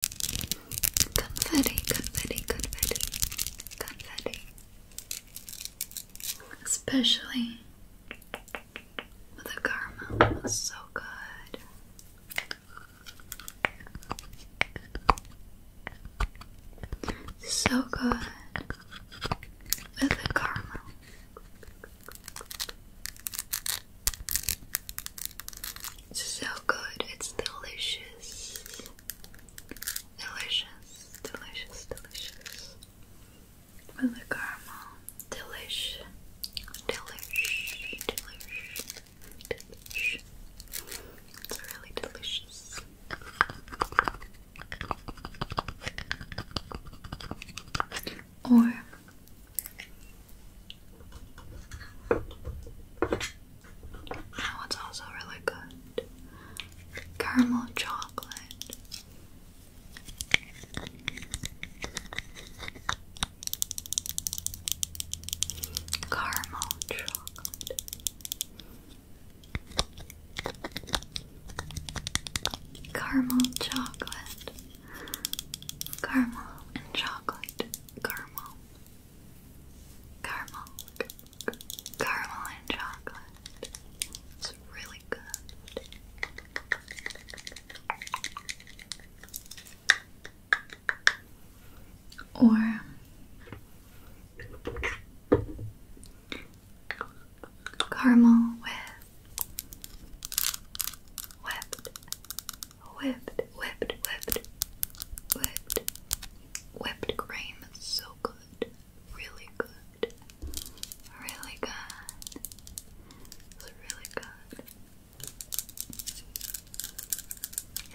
Confetti, confetti, confetti, confetti. Especially with the caramel, it's so good. So good with the caramel. So good, it's delicious. Delicious, delicious, delicious. With the caramel. Delish. Delish. Delish. Delish. It's really delicious. Or that one's also really good. Caramel chocolate. Caramel chocolate. Caramel chocolate. Caramel and chocolate. Caramel caramel, caramel and chocolate. It's really good. Or caramel with whipped Whipped, whipped, whipped, whipped, whipped cream is so good. Really good. Really good. really good.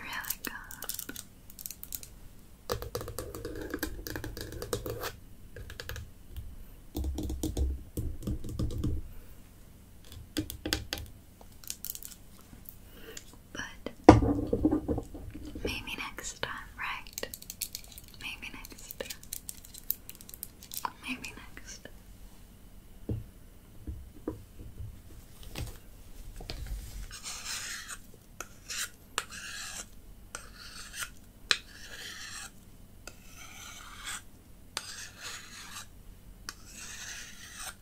Really good but maybe next time, right? Maybe next Maybe next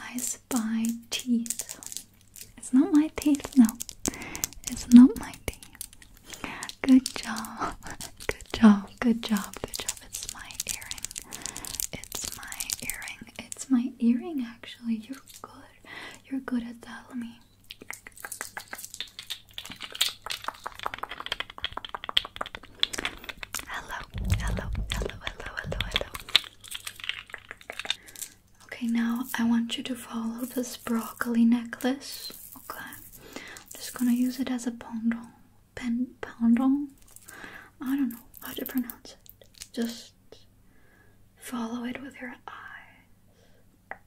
I spy teeth. It's not my teeth, no. It's not my teeth. Good job. Good job. Good job. Good job. It's my earring. It's my earring. It's my earring, actually. You're good. You're good at that. Let me. Hello, hello, hello, hello, hello, hello. Okay, now I want you to follow this broccoli necklace. Okay, I'm just gonna use it as a pendant. Pen Pandong? I don't know how to pronounce it. Just follow it with your eyes.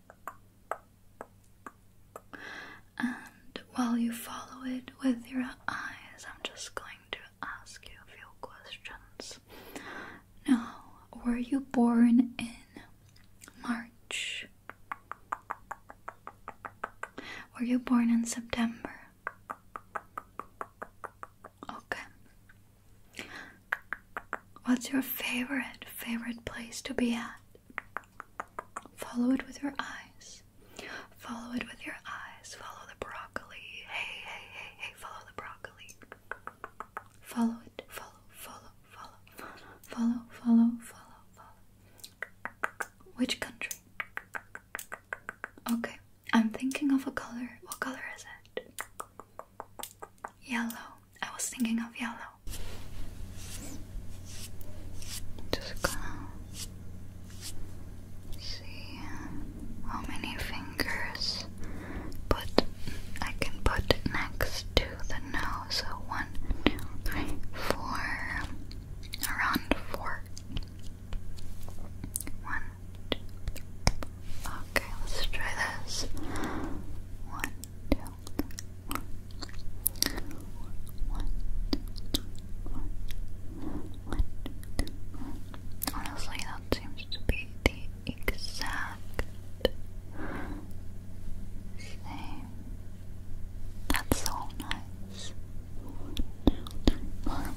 And while you follow it with your eyes, I'm just going to ask you a few questions. Now, were you born in March? Were you born in September? Okay. What's your favorite, favorite place to be at? Follow it with your eyes. Follow it with your eyes. Follow the broccoli. Hey, hey, hey, hey, follow the broccoli. Follow it. Follow, follow, follow, follow, follow, follow, follow, follow. Which country? Okay, I'm thinking of a color. What color is it? Yellow. I was thinking of yellow. Just going see how many fingers put I can put next to the nose. So one, two, three, four. Around four. One, two, three. Okay, let's try this. One, two, one. Honestly, that seems to be the exact same. That's so nice. One, two, one.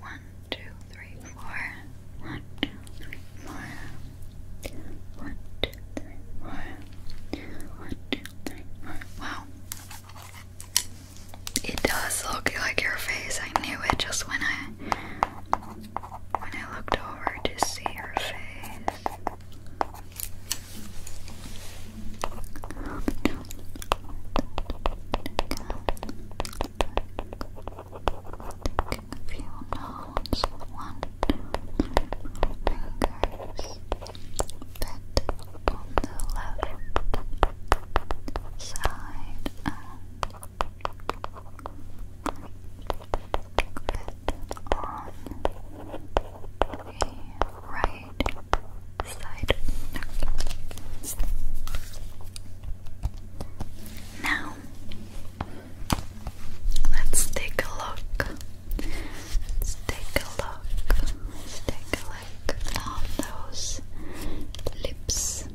One, two, three, four. One, two, three, four. One, two, three, four. One, two, three, four. Wow. It does look like your face. I knew it just when I when I looked over to see your face a you notes, one, fingers bit on the left side and bit on the right side. Okay. Now, let's take a look. Let's take a look. Let's take a look on those lips.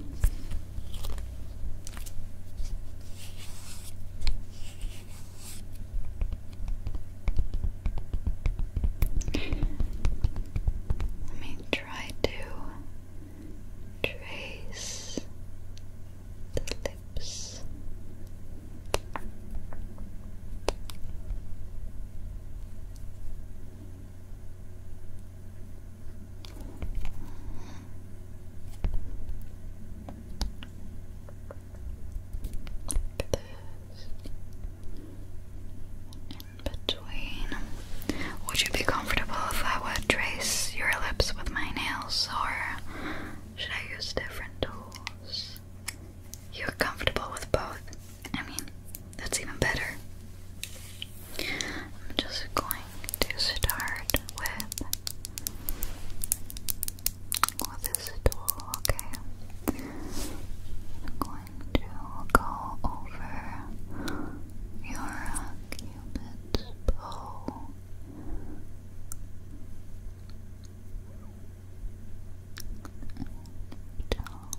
Let me try to trace the lips. Look at this in between. Would you be comfortable if I would trace your lips with my nails, or should I use different tools? You're comfortable with both. I mean, that's even better. I'm just going to start with with this tool, okay? going to go over your cupid's bow. Down,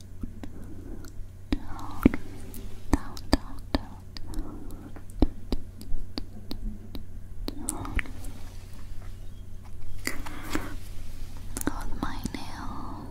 down, down, down, down, down. With my nails,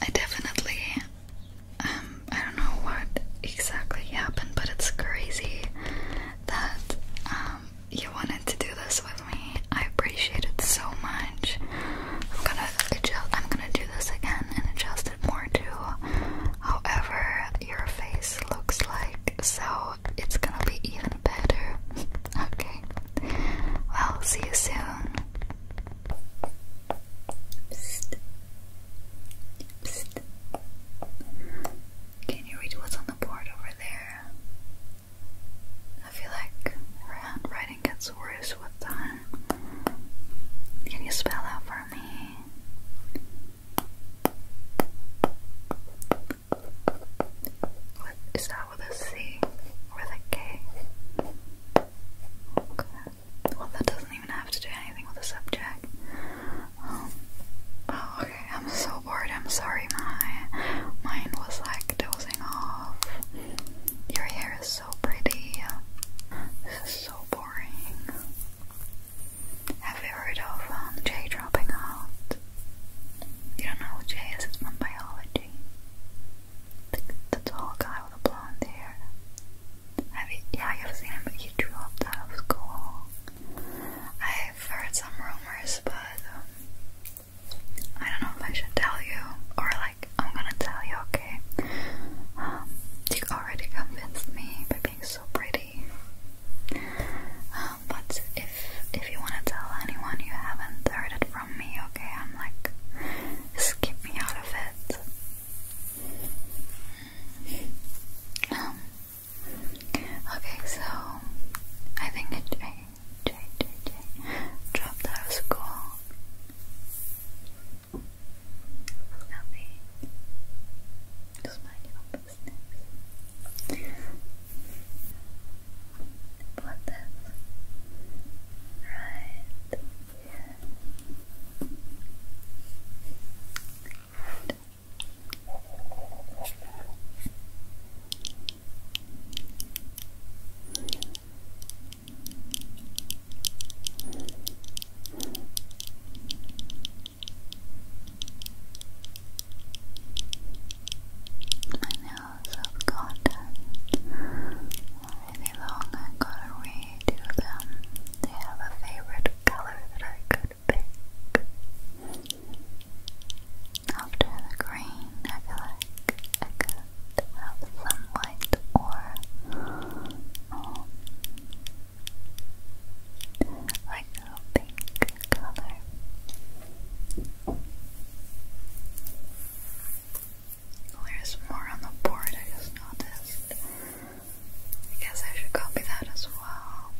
I definitely um I don't know what exactly happened, but it's crazy that um you wanted to do this with me. I appreciate it so much. I'm gonna adjust I'm gonna do this again and adjust it more to however your face looks like, so it's gonna be even better. okay. I'll see you soon. Psst. Psst. Can you read what's on the board over there? I feel like handwriting gets worse with time. Can you spell out for me? What, is that with a C or a K? Well, that doesn't even have to do anything with the subject. Um, oh, okay. I'm so bored. I'm sorry. My mind was like dozing off. Your hair is so pretty. This is so boring. Have you heard of um, dropping out? You don't know who Jay is? It's from biology the, tall guy with the blonde hair. Have you, yeah, I've seen him, but he dropped out of school. I've heard some rumors, but um, I don't know if I should tell you, or like, I'm gonna tell you, okay? Um, you already convinced me by being so pretty. Um, but if if you wanna tell anyone, you haven't heard it from me, okay? I'm like, just keep me out of it. Um, okay, so I think it I, J, J, J dropped out of school. Nothing. Just mind your own business. this right my nails have gotten any longer gonna them. They have a favorite color that I could pick. After green, I like I could have some white or um, like pink color there's more on the board I just noticed. I guess I should copy that as well.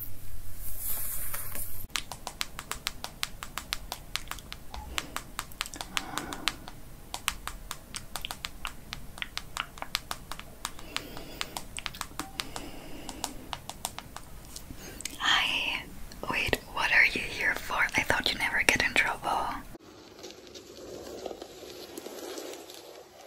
Hi. Wait, what are you here for? I thought you never get in trouble.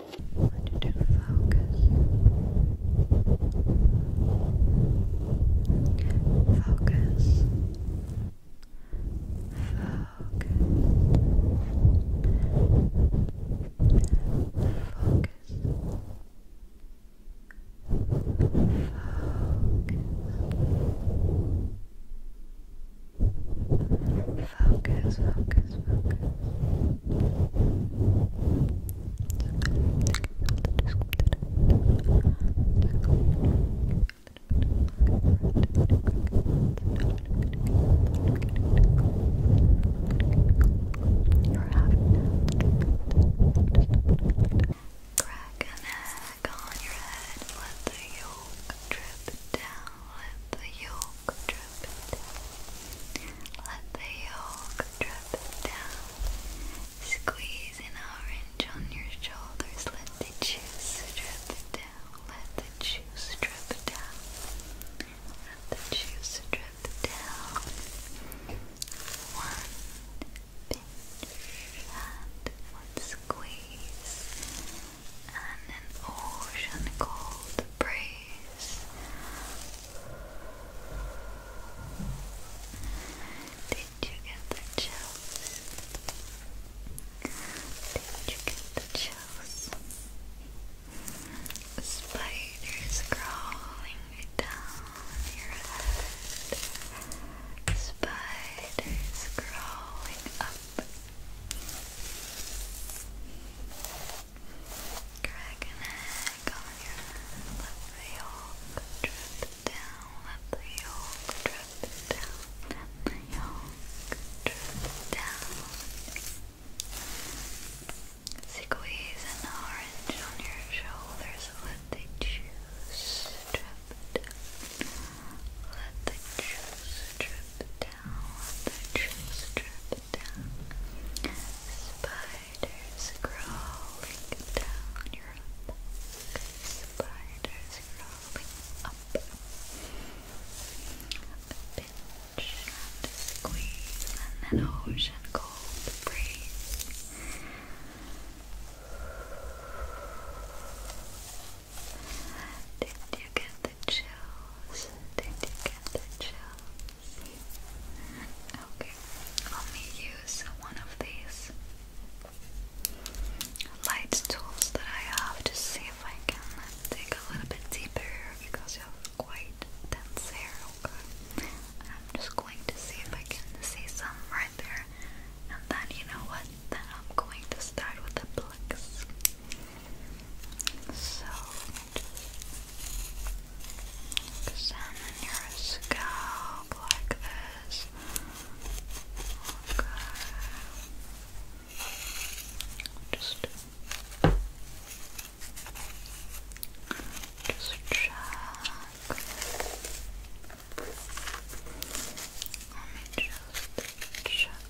I want you to focus. Focus. Focus. Focus. Focus, focus, focus, focus. Crack an egg on your head, let the yolk drip down, let the yolk let the yolk drip down. Squeeze an orange on your shoulders. Let the juice drip down. Let the juice drip down. Let the juice drip down. One pinch and one squeeze and an ocean cold breeze did you get the chills? Did you get the chills? Spiders crawling down your head. Spiders crawling up. Dragon egg on your head. Let the yolk drip down. Let the yolk drip down. Let the yolk drip down. Squeeze an orange on your shoulders. Let the juice drip Let the juice drip down. Let the juice drip down. Spiders crawling down your back. Spiders crawling up. A pinch and squeeze and an ocean cold breeze. Did you get the chills? Did you get the chills? Okay, let me use one of these light tools that I have to see if I can dig a little bit deeper because you have quite dense hair. Okay, I'm just going to see if I can see some right there, and then you know what? Then I'm going to start with the plucks. So. Examine your scalp like this. Just, just check. Let me just check if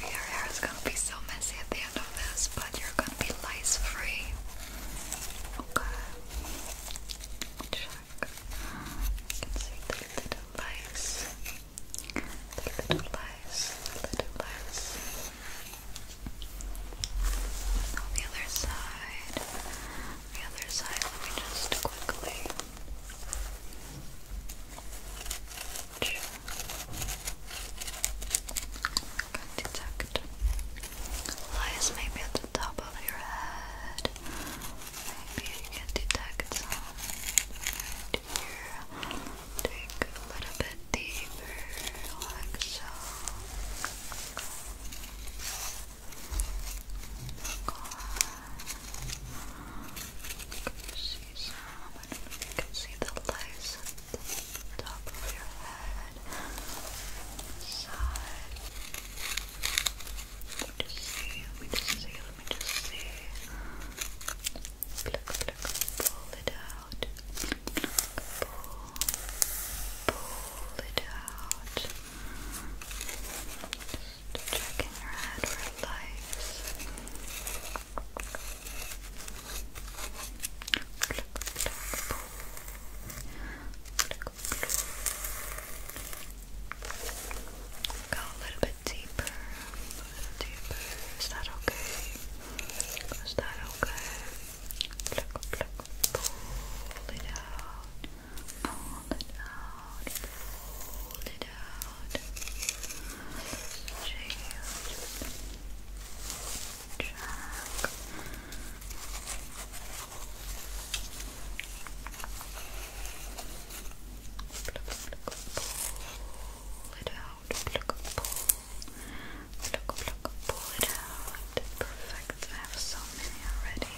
Your hair is gonna be so messy at the end of this, but you're gonna be lice free. Okay. Check. can see the little lice. The little lice. The little lice. the other side. The other side, let me just quickly can detect lies maybe at the top of your head. Maybe you can detect Take a little bit deeper, like can see some. you can see the lace at the top of your head. Side. Let me just see. Let me just see. Let me just see. pull it out. Pull, pull it out. Just checking her head for lights. Go a little bit deeper. Is that okay? Is that okay? Pull it out. Pull it out out, it out, change track. Pull it out, pull, pluck, pluck, pull it out. Perfect. I have so many already.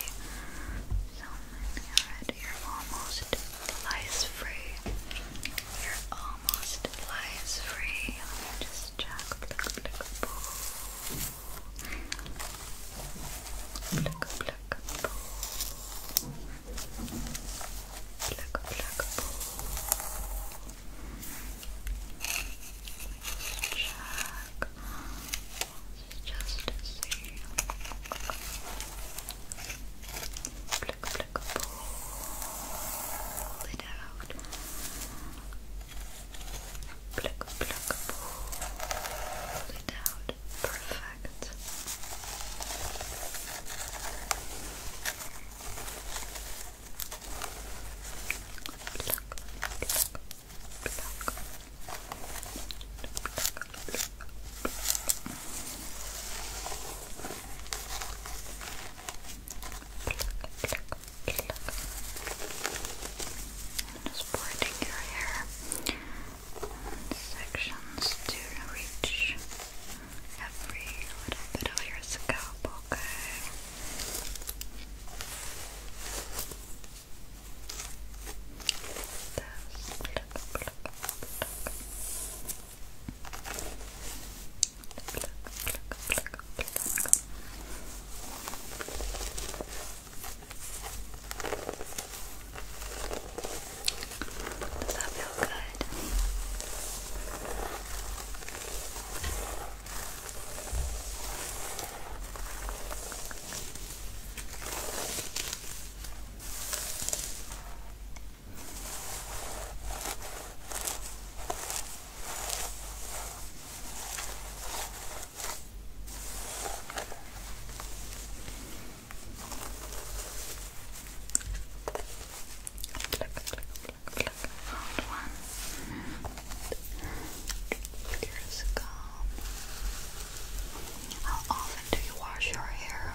So Alright, you're almost lice free. You're almost lice free. Let me just check. Pluck, pluck, pull. Pluck, pluck, pull. Pluck, pluck, pull. Check. Just to see. Pluck, pluck, Pluck, pluck, pull it out. Pluck, pluck, pull it out. Perfect. Pluck, pluck, pluck. Pluck, pluck, just parting your hair in sections to reach every little bit of your scalp, okay? This. Pluck, pluck, pluck. Does that feel good? Okay. Look, found one. Here's a comb. How often do you wash your hair?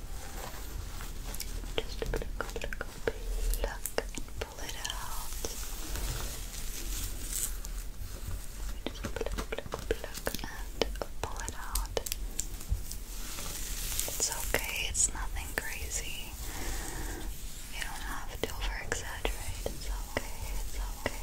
Just pluck, pluck, pluck, and pull it out. Just pluck, pluck, pluck, and pull it out. It's okay, it's nothing crazy. You don't have to over It's okay, it's okay.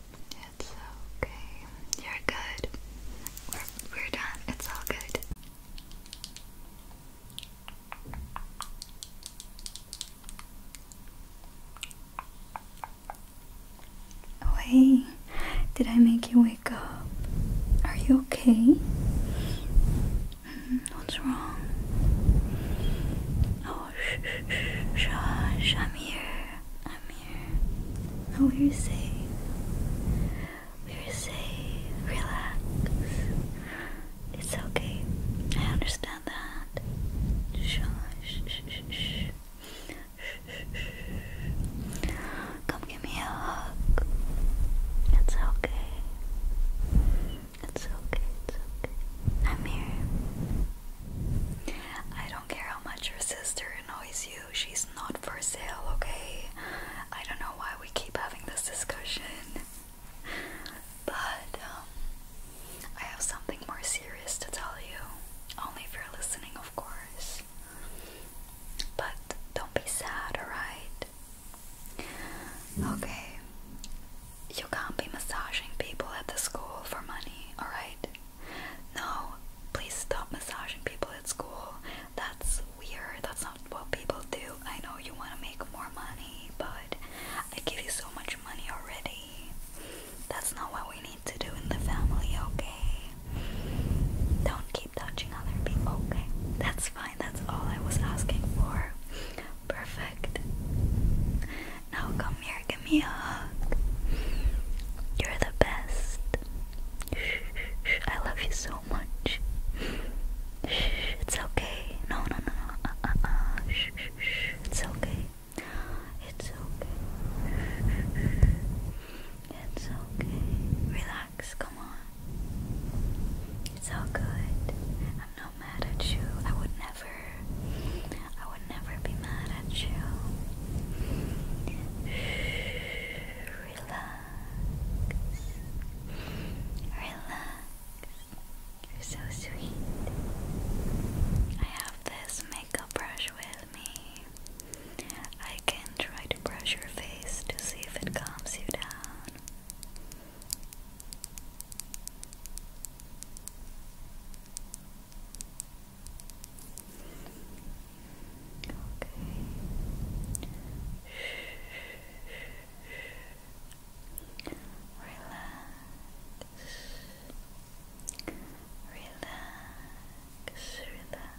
It's okay. You're good. We're we're done. It's all good. Wait, did I make you wait? wake up. Are you okay? Mm-hmm. What's wrong? Oh, shh, shh, I'm here. I'm here. Oh, we're safe. We're safe. Relax. It's okay. I understand that. shh, shh, shh. shh, shh, shh. Come give me a hug. It's okay. It's okay. It's okay. I'm here. I don't care how much your sister annoys you. She's not for sale, okay? I don't know why we keep having this discussion. But um, I have something more serious to tell you. Only if you're listening, of course. But don't be sad, alright? Okay. You can't be massaging people at the school for money, alright? No, please stop massaging people at school. That's weird. That's not what people do. I know you want to make more money, but I give you so much money already. That's not what we need to do in the family, okay? Don't touching other people, okay? That's fine, that's all I was asking for. Perfect. Now come here, give me a hug. You're the best. I love you so much. It's okay. No, no, no, no. Uh, uh, uh. It's okay. It's okay. It's okay. Relax come on. It's all good. I'm not mad at you. I would never I would never be mad at you. Relax. Relax. You're so sweet. I have this makeup brush with me. I can try to brush your face to see if it calms you down. Okay. Relax. Relax. Relax.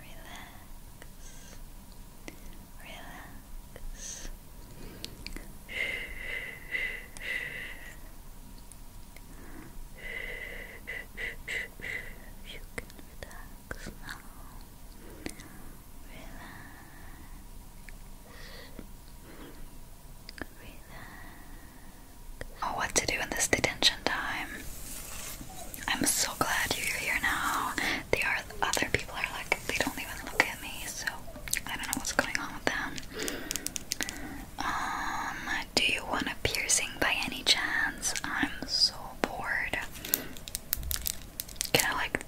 relax, relax. You can relax now. Relax. Relax. Oh, what to do in this detention time. I'm so glad you're here now. The other people are like, they don't even look at me, so I don't know what's going on with them. Um, do you want a piercing by any chance? I'm so bored. Can I like,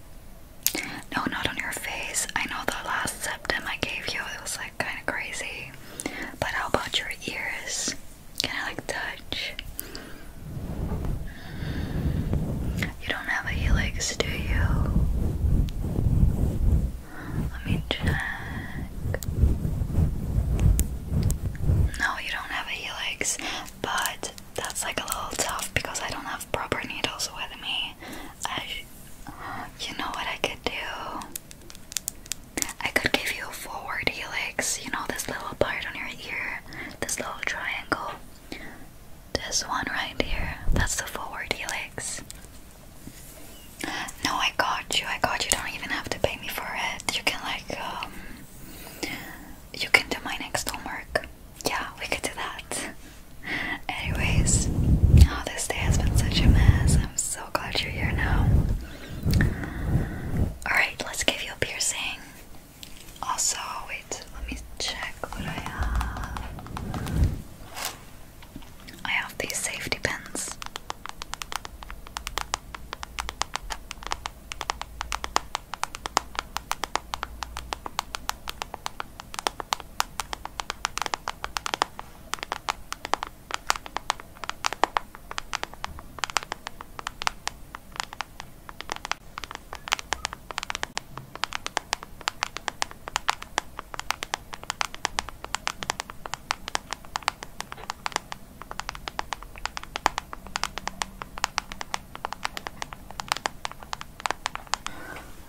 no, not on your face. I know the last septum I gave you, it was like kind of crazy. But how about your ears? Can I like touch? You don't have a helix, do you? Let me check. No, you don't have a helix, but that's like a little tough because I don't have proper needles with me. I, you know what I could do? I could give you a forward helix, you know, this little part on your ear, this little triangle. This one right here, that's the forward helix. No, I got you, I got you. Don't even have to pay me for it. You can, like, um, you can do my next homework. Yeah, we could do that. Anyways, oh, this day has been such a mess. I'm so glad you're here now. Alright, let's give you a piercing. Also, wait, let me check what I have. I have these safety pins. Let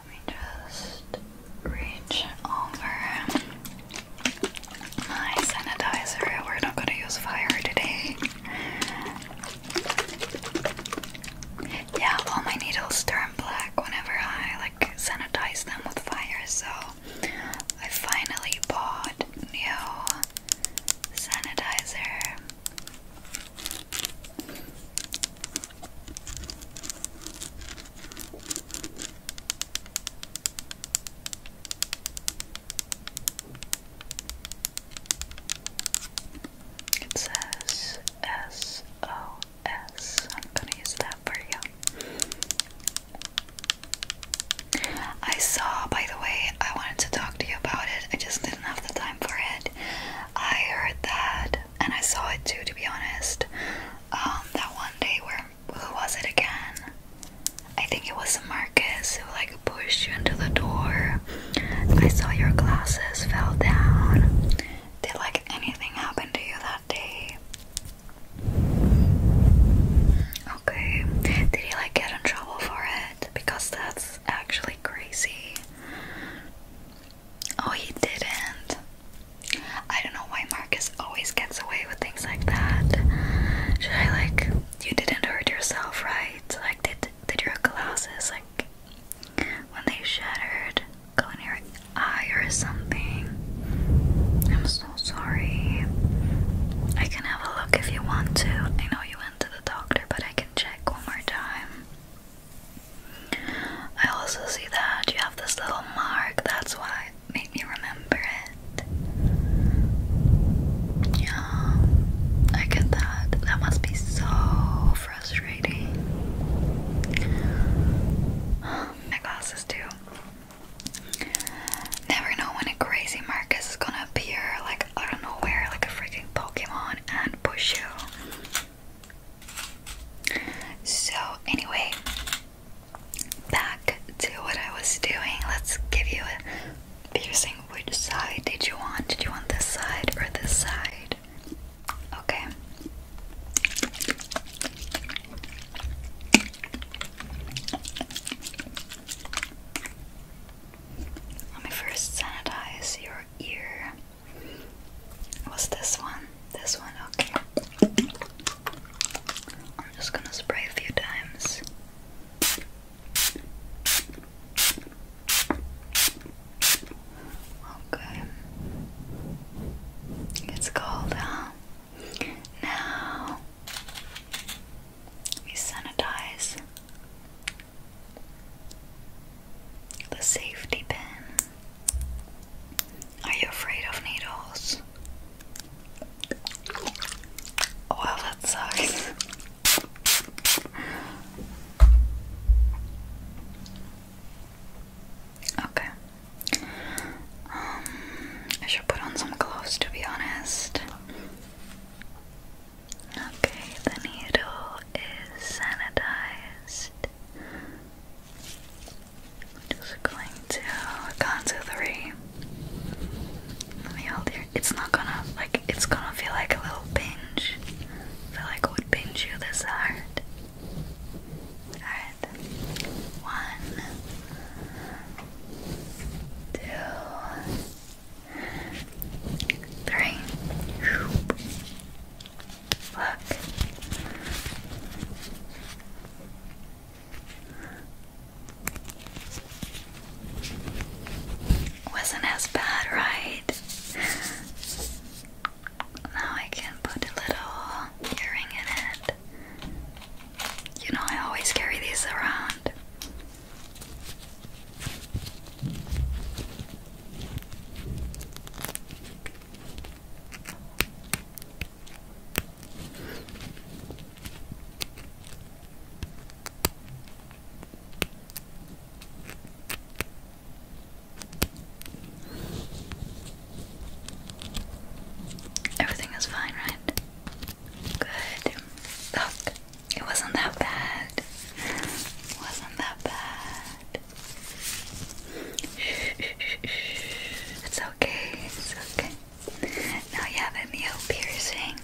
me just reach over my sanitizer. We're not going to use fire today. Yeah, all my needles turn black whenever I like sanitize them with fire, so I finally bought new sanitizer. It says S O S. I'm gonna use that for you. I saw, by the way, I wanted to talk to you about it. I just didn't have the time for it. I heard that, and I saw it too, to be honest. Um, that one day where who was it again? I think it was Marcus who like pushed you into the door. I saw your glasses fell down. Did like anything happen to you that day? Okay. Did he like get in trouble for it? Because that's actually crazy. Oh, he didn't. I don't know why Marcus always gets away with things like that. Should I like you didn't hurt yourself, right? Like, did did your glasses like when they shattered go in your eye or something? I'm so sorry. I can have a look if you want to. I know you went to the doctor, but I can check one more time. I also see that you have this little mark. That's why it made me remember it. Yeah, I get that. That must be so frustrating. My glasses too. Never know when a crazy Marcus is gonna appear like out of nowhere, like a freaking Pokemon, and push you. So, anyway, back to what I was doing. Let's give you Using which side did you want? Did you want this side or this side? Okay. Let me first sanitize your ear. What's this one? This one, okay. I'm just gonna spray a few times. Okay. It's cold, huh? Now we sanitize the safety pin. Are you afraid of needles? Wow, that sucks. Okay. Um, I should put on some clothes to be honest. Okay, the needle is sanitized. just going to count to three. Let me hold here. It's not gonna like it's gonna feel like a little pinch. feel like it would pinch you this hard. Alright. One two three Look. Wasn't as bad, right? Now I can put a little earring in it. You know, I always carry these around. Everything is fine, right? Good. Look, it wasn't that bad. It wasn't that bad. It's okay, it's okay. Now you have a mute piercing.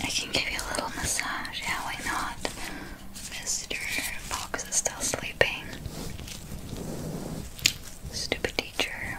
I can give you a little massage, yeah, why not? Mr. Fox is still sleeping. Stupid teacher.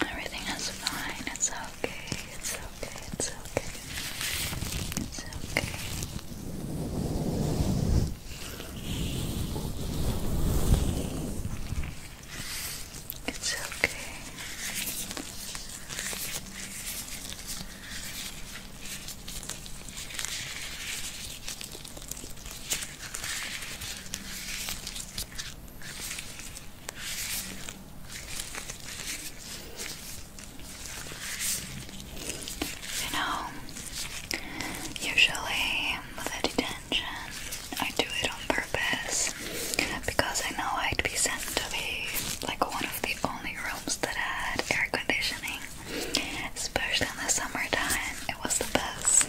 Everything is fine. It's okay. It's okay. It's okay. It's okay. It's okay. You know, usually with detention, I do it on purpose because I know I'd be sent to be like one of the only rooms that had air conditioning. Especially in the summertime, it was the best.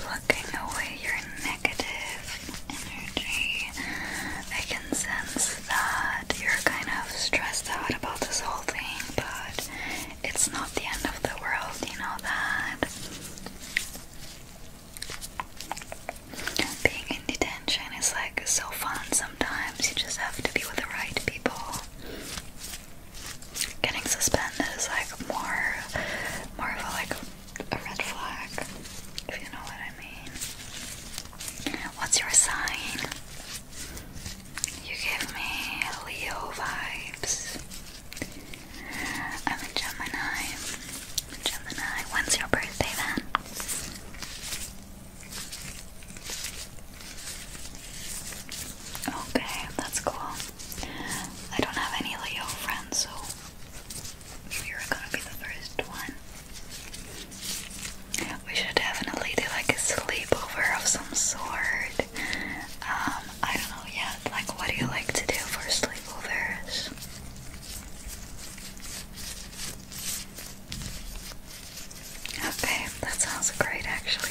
plucking away your negative energy. I can sense that you're kind of stressed out about this whole thing, but it's not the end of the world, you know that. Being in detention is like so fun sometimes, you just have to be with the right people. Getting suspended is like more more of a like a red flag, if you know what I mean. What's your sign? You give me Leo vibes. I'm a Gemini. Gemini, when's your birthday then? Okay, that's cool. I don't have any Leo friends, so you're gonna be the first one. We should definitely do like a sleepover of some sort. Um, I don't know yet. Like, what do you like to do for sleepovers? Okay, that sounds great actually.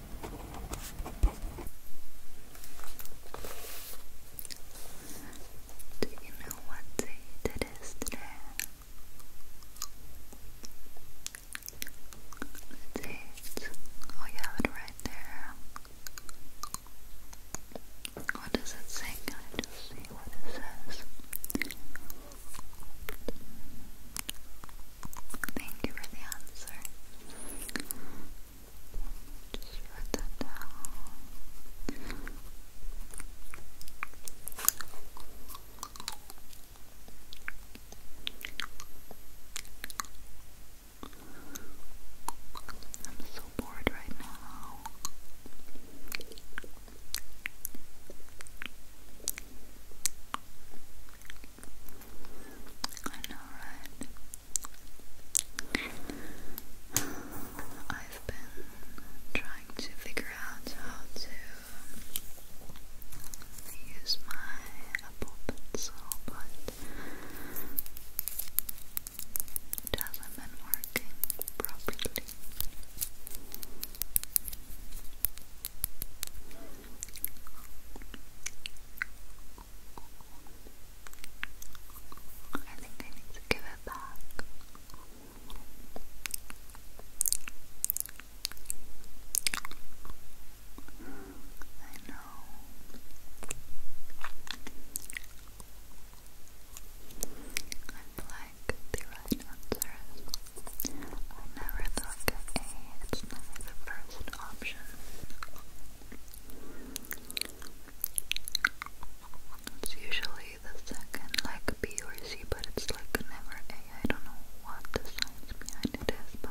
Do you know what day it is today? The Oh, you have it right there. What does it say? Can I just see what it says? Thank you for the answer. Just write that down. I'm so bored right now. I know, right? I've been trying to figure out how to use my Apple Pencil, but it hasn't been working properly. I think I need to give it back. I know. I feel like the right answer I never thought A, it's never the first option. It's usually the second, like B or C, but it's like never A. I don't know what the science behind it is, but.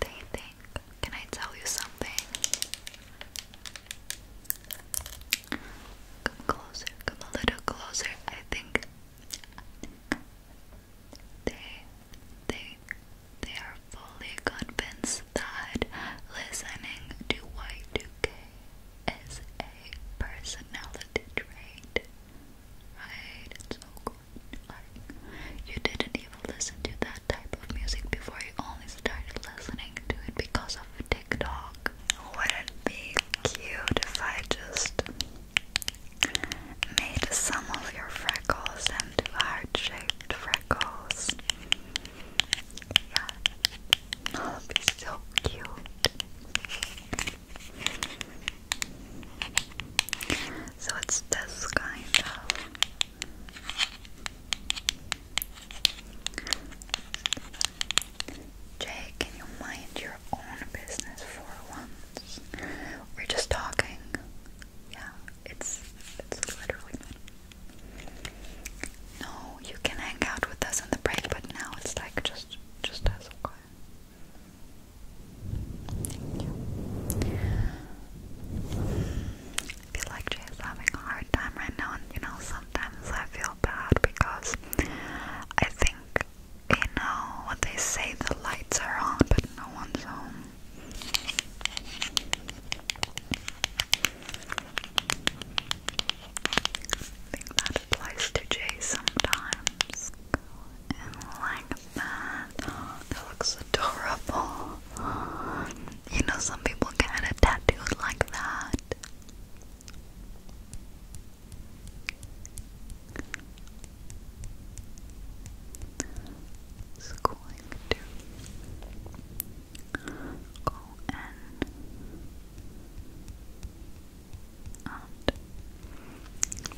They think, can I tell you something? Come closer, come a little closer. I think they, they, they are fully convinced that listening to White 2 is a personality trait. Right? It's so good. Like, you didn't even listen to that type of music before you only started listening to it because of TikTok. Wouldn't be cute if I just made some of your freckles into heart-shaped freckles. Yeah, so cute. So it's this kind of Jay, can you mind your own business for once? We're just talking. Yeah. It's it's literally no. You can hang out with us in the break, but now it's like just just us. Okay. Thank I feel like Jay's having a hard time right now, and you know sometimes I feel bad because I think you know what they say the lights are on, but no one's home. I think that applies to J sometimes. Go like that. that looks adorable. You know, some people get a like that is going to and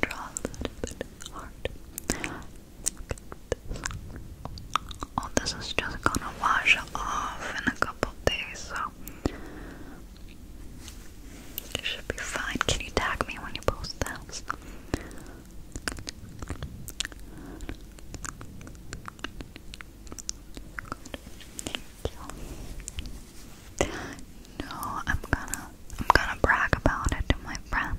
draw a little bit hard. All oh, this is just gonna wash off in a couple days, so it should be fine. Can you tag me when you post those? Good. No, I'm gonna I'm gonna brag about it to my friends.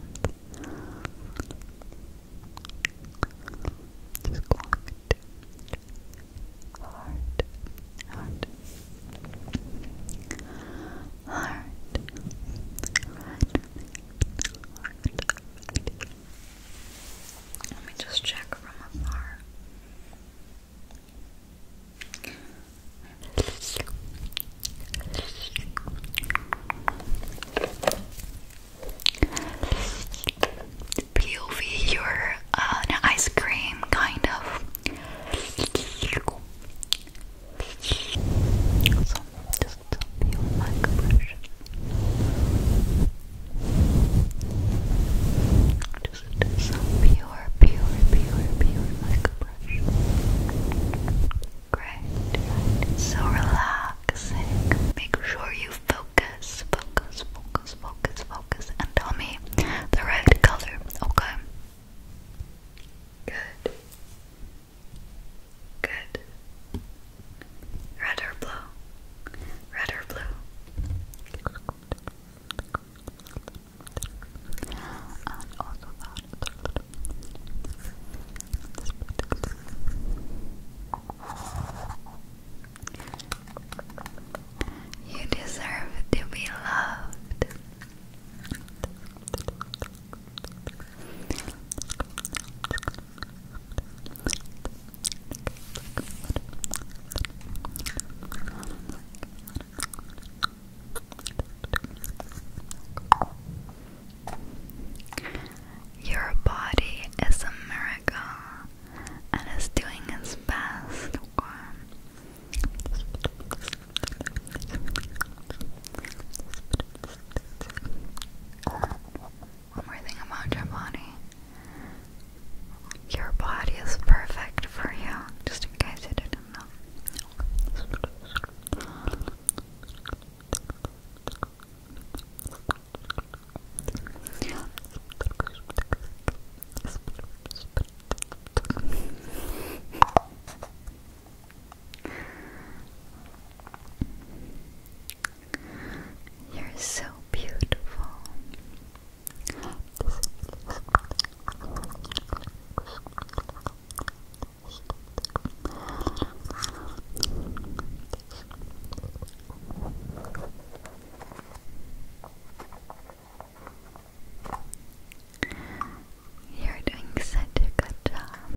Let me just check from afar. POV, you're an ice cream, kind of just a few microbrushes. Just some pure, pure, pure, pure microbrush. Great, So relaxing. Make sure you focus, focus, focus, focus, focus, and tell me the right color, okay? Good. Good. Red or blue? Red or blue? You deserve to be loved. Your body is a miracle and is doing its best. One more thing about your body. Your body is perfect for you, just in case you didn't know. You're so beautiful. You're doing such a good job.